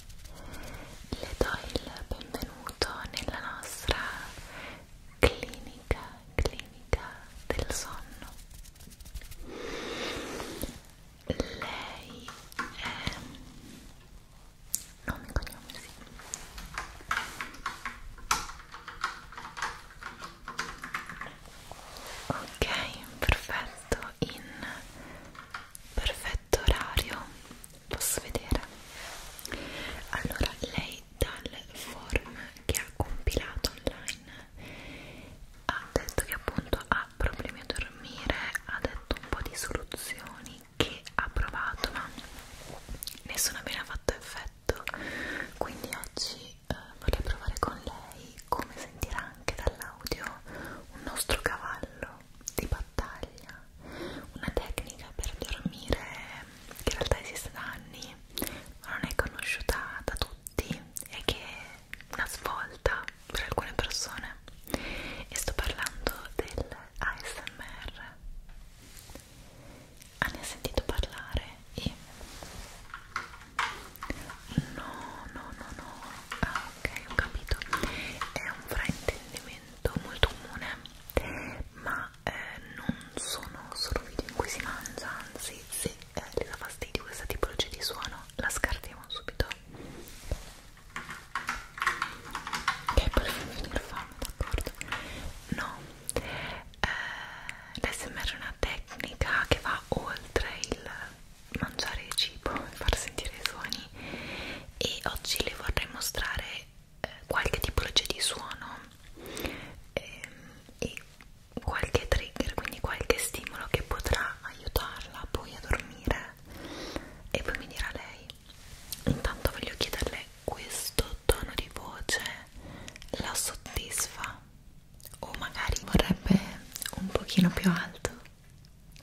le do il benvenuto nella nostra clinica, clinica del sonno. Lei è... nome e cognome, sì. Ok, perfetto, in perfetto orario posso vedere allora lei dal form che ha compilato online ha detto che appunto ha problemi a dormire ha detto un po' di soluzioni che ha provato ma nessuna me ne ha fatto effetto quindi oggi eh, vorrei provare con lei come sentirà anche dall'audio un nostro cavallo di battaglia, una tecnica per dormire che in realtà esiste da anni, ma non è conosciuta da tutti e che è una svolta per alcune persone. E sto parlando del ASMR. Ah, ne ha sentito parlare e no, no, no, no. Ah, ok, ho capito. È un fraintendimento molto comune ma eh, non sono solo video in cui si mangia anzi se eh, le dà fastidio questa tipologia di suono la scartiamo subito che poi finire fame d'accordo no eh, l'SMR è una tecnica che va oltre il mangiare il cibo e far sentire i suoni e oggi le vorrei mostrare eh, qualche tipologia di suono ehm, e qualche trigger, quindi qualche stimolo che potrà aiutarla poi a dormire e poi mi dirà lei intanto voglio chiederle questo tono di voce la soddisfa o magari vorrebbe un pochino più alto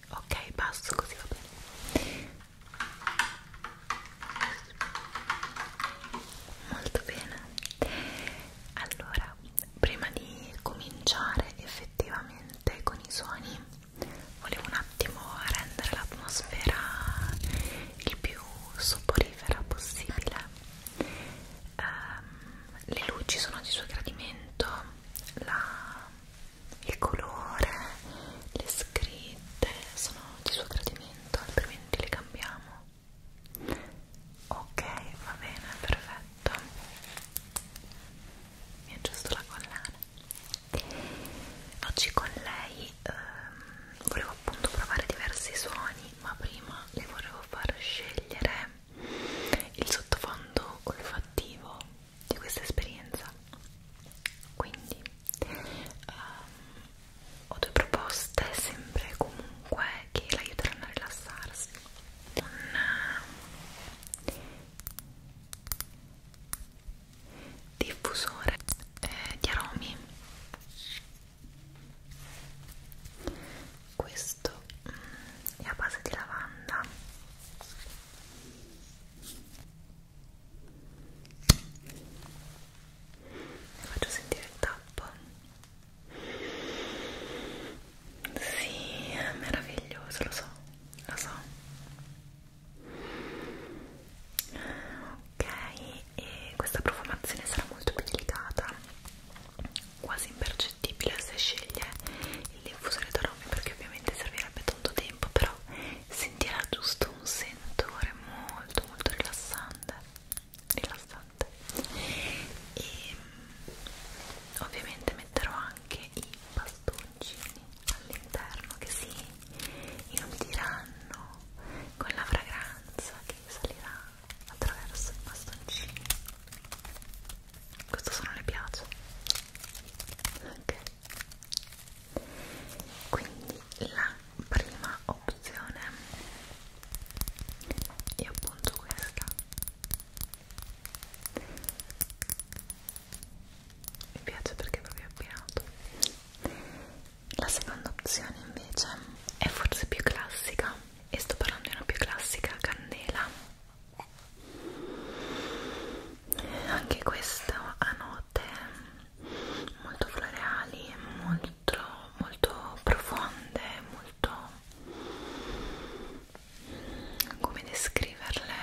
ok passo così va bene molto bene allora prima di cominciare effettivamente con i suoni volevo un attimo rendere l'atmosfera il più soporifera possibile um, le luci sono di suo gradimento la il colore, le scritte sono di suo gradimento, altrimenti le cambiamo. Ok, va bene, perfetto. Mi aggiusto la collana. Oggi con lei ehm, volevo appunto provare diversi suoni, ma prima le volevo far scegliere il sottofondo olfattivo di questa esperienza quindi um, ho due proposte sempre e comunque che l'aiuteranno a rilassarsi una diffusore eh, di aromi questo mm, è a base di lavanda Faccio sentire il tappo. Sì, è meraviglioso, lo so, lo so. Ok, e questa profumazione sarà molto più delicata, quasi impercettibile se sceglie l'infusione d'aroma perché ovviamente servirebbe tanto tempo però sentirà giusto un sentore molto molto rilassante rilassante e mm, ovviamente metterò anche i bastoncini all'interno che si inondiranno con la fragranza che salirà attraverso i bastoncini questo suono le piace ok quindi la prima opzione è appunto questa mi piace perché è proprio abbinato la seconda opzione invece è forse più classica e sto parlando di una più classica candela anche questo a note molto floreali molto, molto profonde molto come descriverle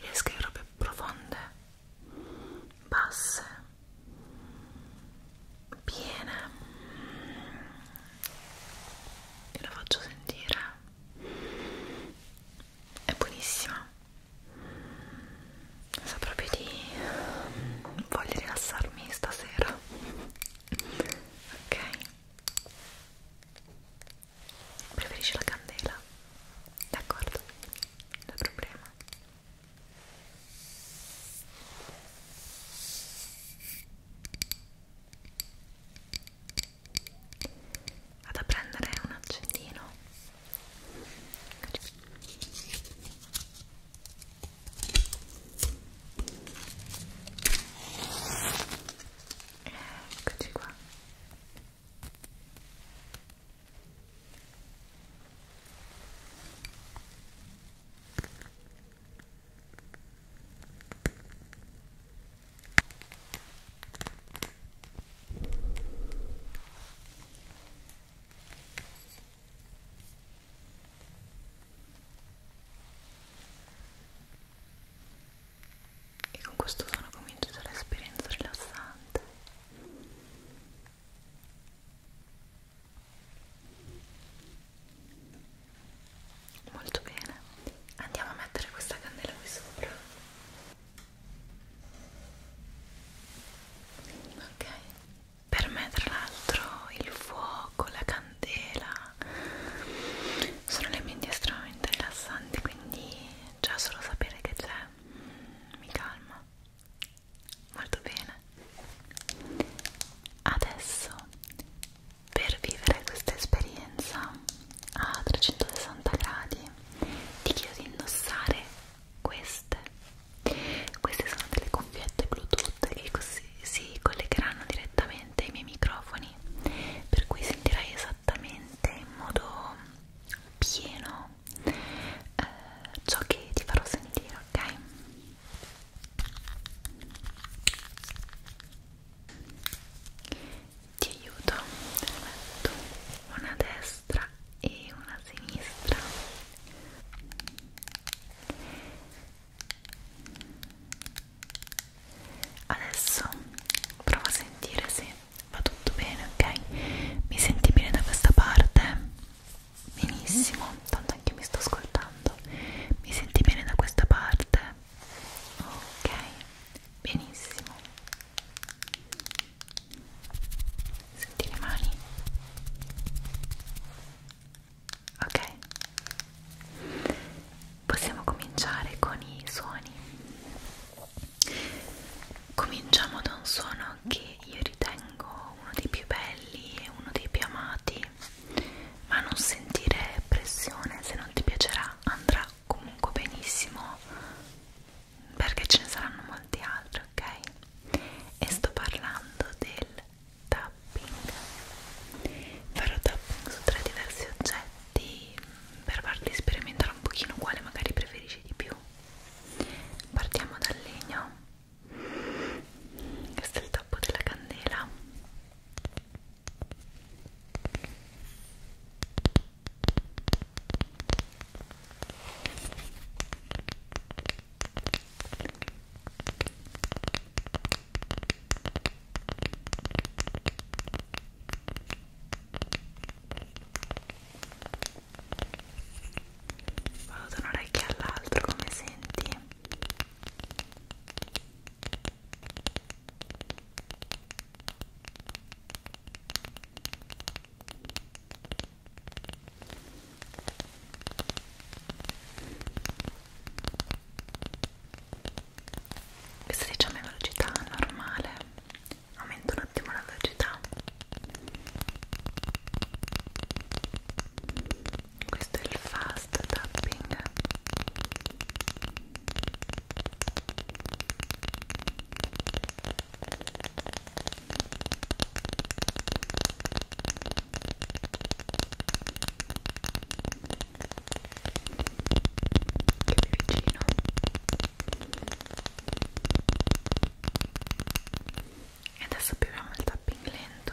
le descriverò più profonde basse piene ve lo faccio sentire è buonissima so proprio di voglio rilassarmi stasera ok preferisci la candela d'accordo non è problema vado a prendere un accendino eccoci qua e con questo suono comincia l'esperienza rilassante molto bene andiamo a mettere questa candela qui sopra ok per me tra l'altro il fuoco la candela sono elementi estremamente rilassanti quindi già solo sapere che c'è mm, mi calma molto bene adesso per vivere questa esperienza a 360 gradi ti chiedo di indossare queste queste sono delle cuffiette bluetooth che così si collegheranno direttamente ai miei microfoni per cui sentirai esattamente in modo pieno eh, ciò che ti farò sentire ok ti aiuto te ne metto una a destra e una a sinistra adesso prova a sentire se va tutto bene ok mi senti bene da questa parte benissimo tanto anche io mi sto ascoltando mi senti bene da questa parte ok benissimo senti le mani ok possiamo cominciare con i suoni cominciamo da un suono che io ritengo uno dei più belli e uno dei più amati ma non sentire pressione se non ti piacerà ora andrà comunque benissimo perché ce ne saranno molti altri, ok? E sto parlando del tapping. Farò tapping su tre diversi oggetti mm, per farvi sperimentare un pochino quale magari preferisci di più. Partiamo dal legno. Questo è il tappo della candela Vado da un orecchio all'altro, come senti? questa diciamo è velocità normale aumento un attimo la velocità questo è il fast tapping e adesso apriamo il tapping lento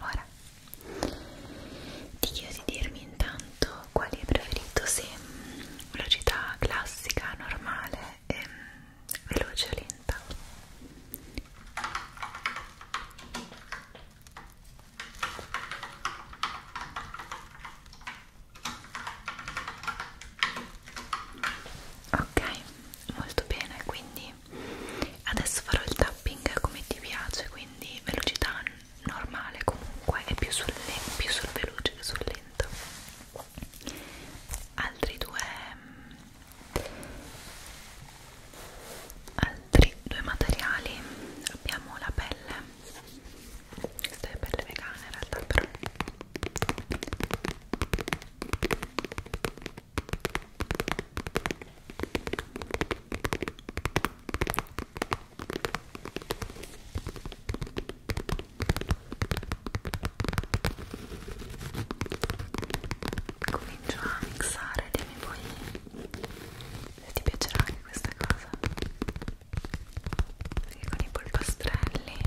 Ora ti chiedo di dirmi intanto quali hai preferito, se velocità classica, normale e veloce o lenta ok molto bene quindi adesso farò il tapping come ti piace quindi velocità normale comunque è più sul, più sul veloce che sul lento altri due altri due materiali abbiamo la pelle questa è pelle vegana in realtà però Comincio a mixare, dimmi poi se ti piacerà anche questa cosa. Perché con i polpastrelli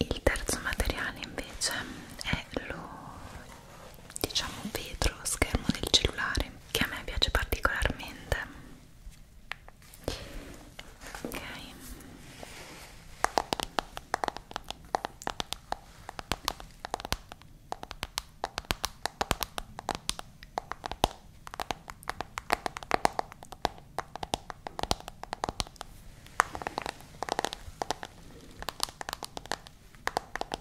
Il terzo materiale invece è lo diciamo vetro schermo del cellulare che a me piace particolarmente ok ok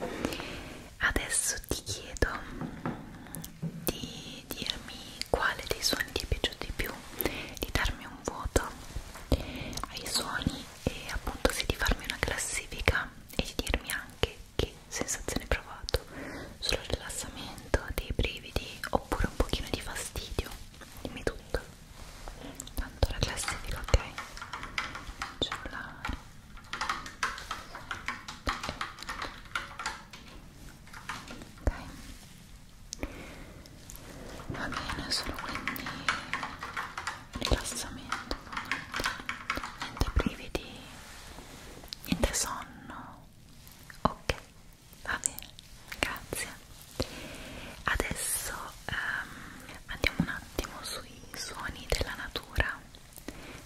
Ok, adesso ti chiedo di dirmi quale dei suoni ti è piaciuto di più, di darmi un voto ai suoni e appunto sì di farmi una classifica e di dirmi anche che sensazione hai provato solo rilassamento, dei brividi oppure un pochino di fastidio dimmi tutto tanto la classifica ok cellulare ok va bene solo quindi rilassamento niente brividi, niente sonno. Ok, va bene, grazie. Adesso um, andiamo un attimo sui suoni della natura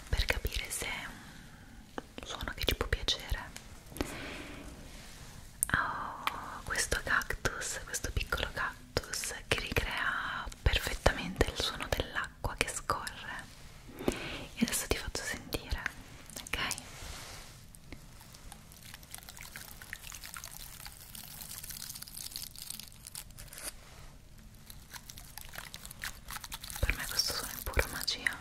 per capire se è un suono che ci può piacere. Oh, questo cactus, questo piccolo cactus cactus che ricrea perfettamente il suono dell'acqua che scorre e adesso ti faccio sentire ok per me questo suono è pura magia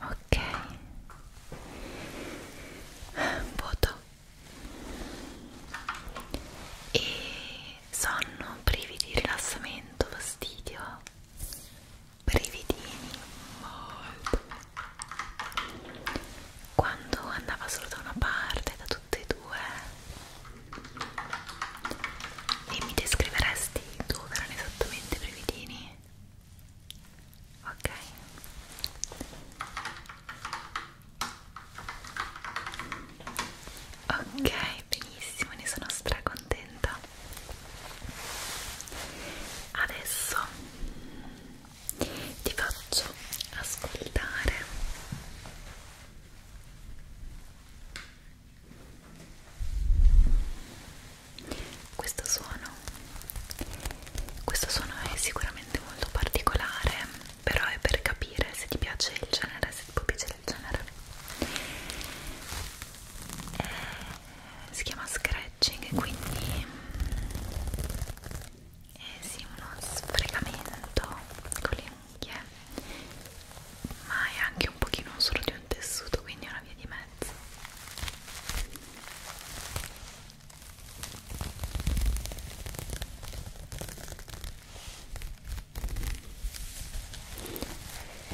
ok vuoto e sonno privi di rilassamento fastidio brividini molto quando andava solo da una parte da tutte e due e mi descriveresti dove erano esattamente i brividini ok ok benissimo ne sono stracontenta adesso ti faccio ascoltare questo suono questo suono è sicuramente molto particolare però è per capire se ti piace il genere se ti può piacere il genere eh, si chiama scratching quindi è eh sì uno sfregamento con le unghie ma è anche un pochino solo di un tessuto quindi è una via di mezzo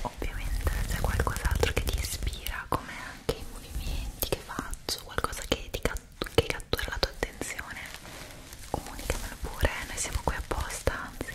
Ovviamente se qualcos'altro che ti ispira, come anche i movimenti che faccio, qualcosa che, ti che cattura la tua attenzione, comunicamelo pure, noi siamo qui apposta, anzi.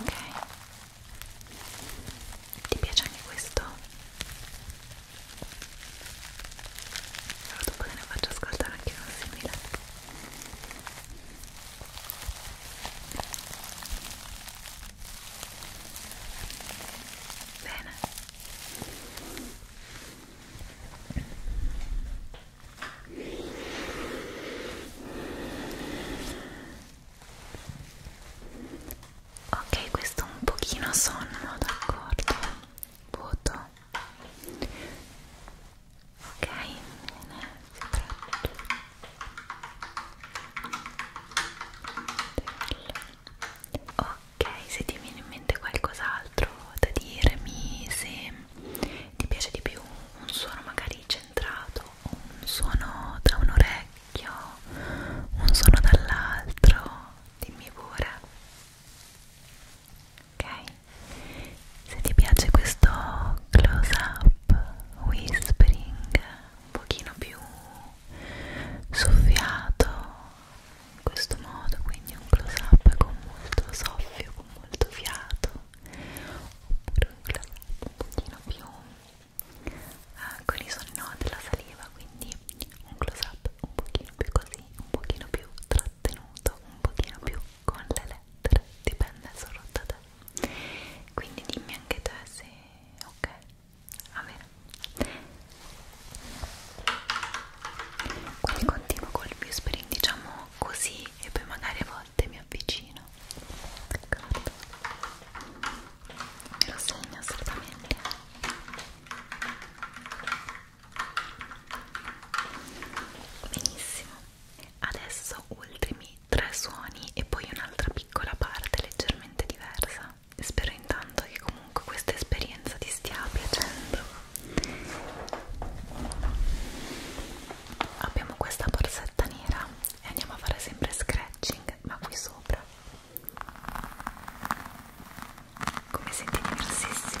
ok ti piace anche questo? allora dopo te ne faccio ascoltare anche uno simile bene Bene, ok questo un pochino sonno d'accordo vuoto ok bene ok se ti viene in mente qualcos'altro da dirmi se ti piace di più un suono magari centrato un suono da un orecchio, un suono dall'altro, dimmi pure. Ok? Se ti piace questo close up, whispering, un pochino più soffiato in questo modo, quindi un close up con molto soffio, con molto fiato oppure un glassetto un pochino più eh, con i suoni no, della saliva quindi un close up un pochino più così un pochino più trattenuto un pochino più con le lettere dipende solo da te quindi dimmi anche te se ok va bene quindi continuo col whispering diciamo così e poi magari a volte mi avvicino peccato me lo segno assolutamente benissimo adesso ultimi tre suoni e poi un'altra piccola parte leggermente diversa spero intanto che comunque questa esperienza ti stia piacendo abbiamo questa borsetta nera e andiamo a fare sempre scratching ma qui sopra come senti diversissimo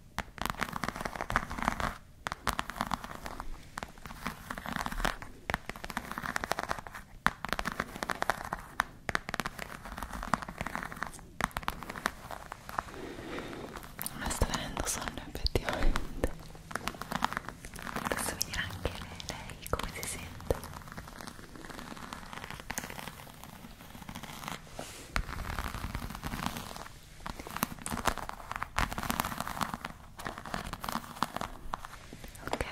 Ma sta venendo sonno effettivamente. Adesso mi dirà anche lei, lei come si sente. Ok,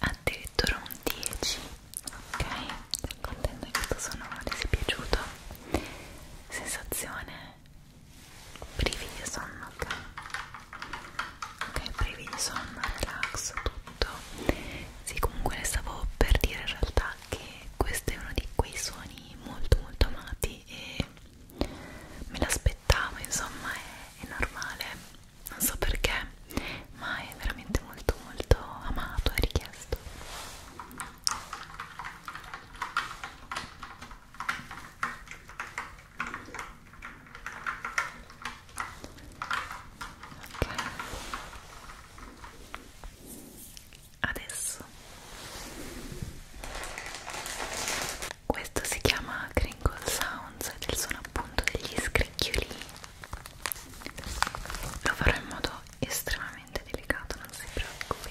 addirittura un 10. Ok, sono contenta che questo sonoro ti sia piaciuto. Sensazione, brividi e sonno, ok? ok, privi di sonno, relax, tutto sì, comunque le stavo per dire in realtà che questo è uno di quei suoni molto molto amati e me l'aspettavo, insomma è, è normale non so perché ma è veramente molto molto amato e richiesto Okay. Adesso questo si chiama Crinkle Sounds ed è il suono appunto degli scricchioli. Lo farò in modo estremamente delicato, non si preoccupi.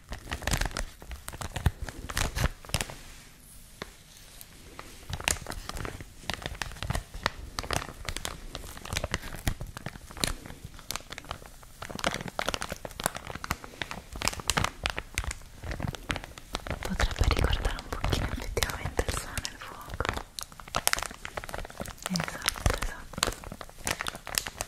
Potrebbe ricordare un pochino effettivamente il suono e il fuoco. Esatto, esatto.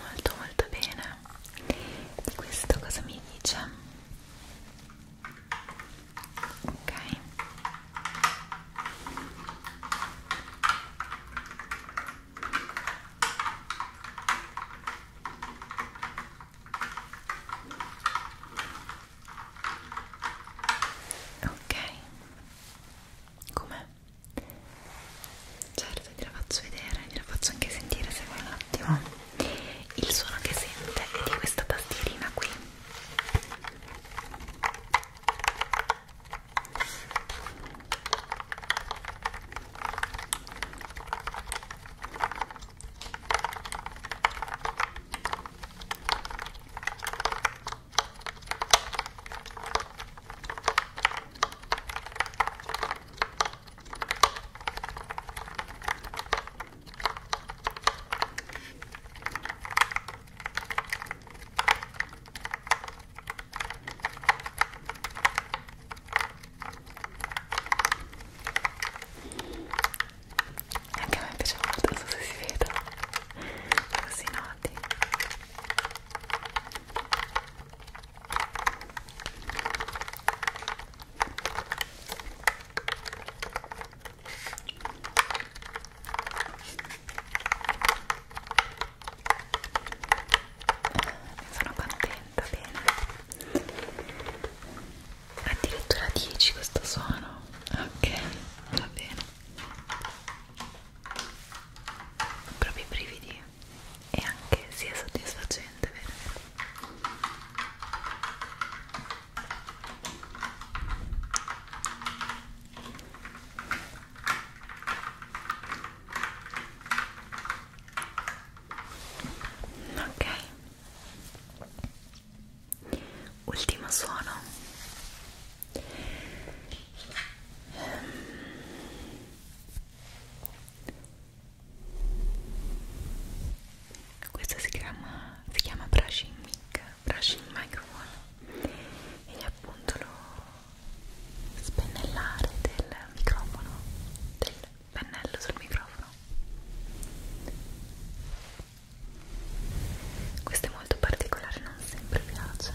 molto molto bene di questo cosa mi dice? ok Ok, com'è? certo te la faccio vedere gliela faccio anche sentire se vuoi un attimo il suono che sente è di questa tastierina qui anche a me piace molto, non so se si vede così no, colorati ne sono contenta, bene addirittura 10 questo suono ok, va bene proprio i brividi e anche sia soddisfacente vero? ok ultimo suono questo si chiama, si chiama brushing mic, brushing microphone e appunto lo spennellare del microfono, del pennello sul microfono. Questo è molto particolare, non sempre piace.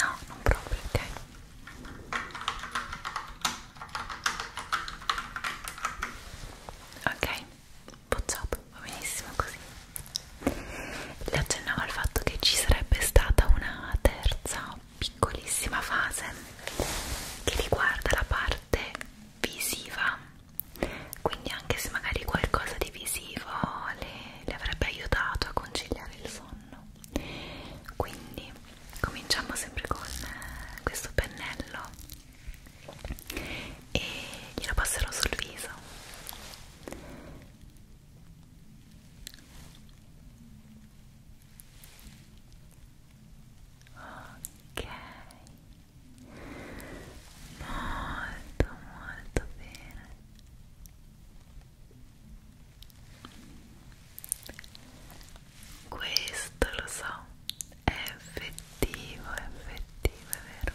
No, non proprio, ok. Ok, bocciato, va benissimo così. Le accennavo al fatto che ci sarebbe stata una terza piccolissima fase che riguarda la parte visiva, quindi anche se magari qualcosa di visivo le, le avrebbe aiutato a conciliare il sonno. Quindi cominciamo sempre con questo pennello e glielo passerò sul viso Ok, molto molto bene. Questo lo so, è effettivo, è effettivo, è vero.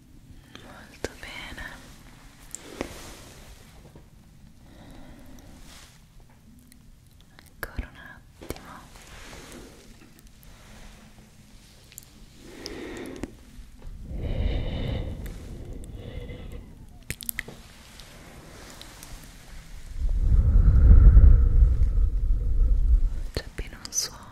molto bene ancora un attimo c'è appena un suono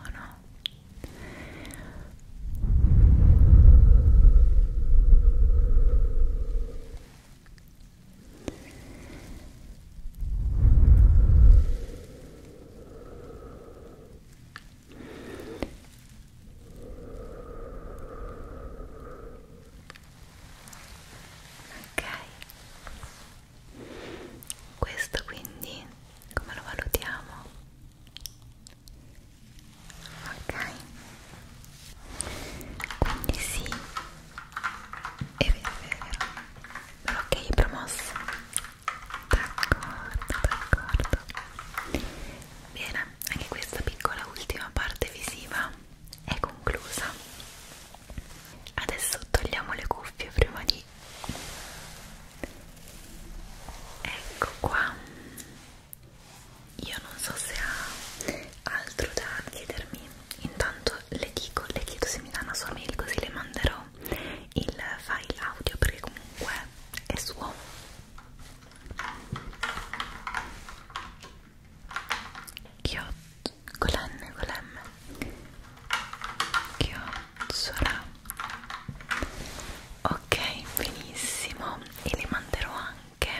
questo quindi come lo valutiamo? ok quindi sì è vero è vero ok è promosso d'accordo d'accordo bene anche questa piccola ultima parte visiva è conclusa adesso togliamo le cuffie prima di qui ecco qua io non so se ha altro da chiedermi intanto le dico le chiedo se mi dà una sua mail così le manderò il file audio perché comunque è suo chiot con l'N con l'M chiot Sorà. Ok, benissimo. E le manderò anche.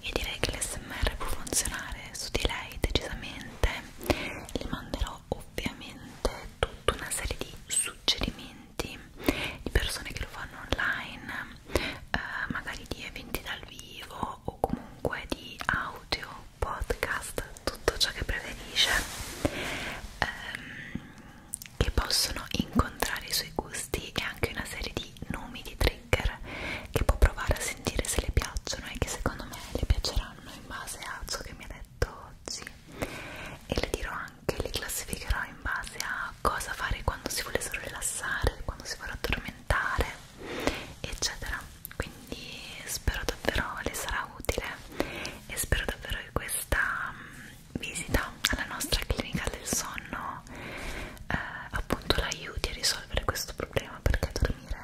Io direi che l'SMR può funzionare su di lei decisamente. Le manderò ovviamente tutta una serie di suggerimenti di persone che lo fanno online, eh, magari di eventi dal vivo o comunque di audio, podcast, tutto ciò che preferisce. Um, che possono incontrare i suoi gusti e anche una serie di nomi di trigger che può provare a sentire se le piacciono e che secondo me le piaceranno in base a ciò che mi ha detto oggi e le dirò anche, le classificherò in base a cosa fare quando si volessero rilassare, quando si vorrà addormentare eccetera quindi spero davvero le sarà utile e spero davvero che questa mm, visita alla nostra clinica del sonno eh, appunto la aiuti a risolvere questo problema perché dormire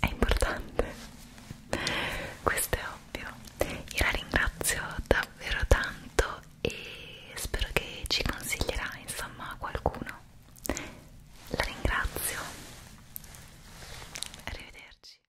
è importante questo è ovvio io la ringrazio davvero tanto e spero che ci consiglierà insomma qualcuno la ringrazio arrivederci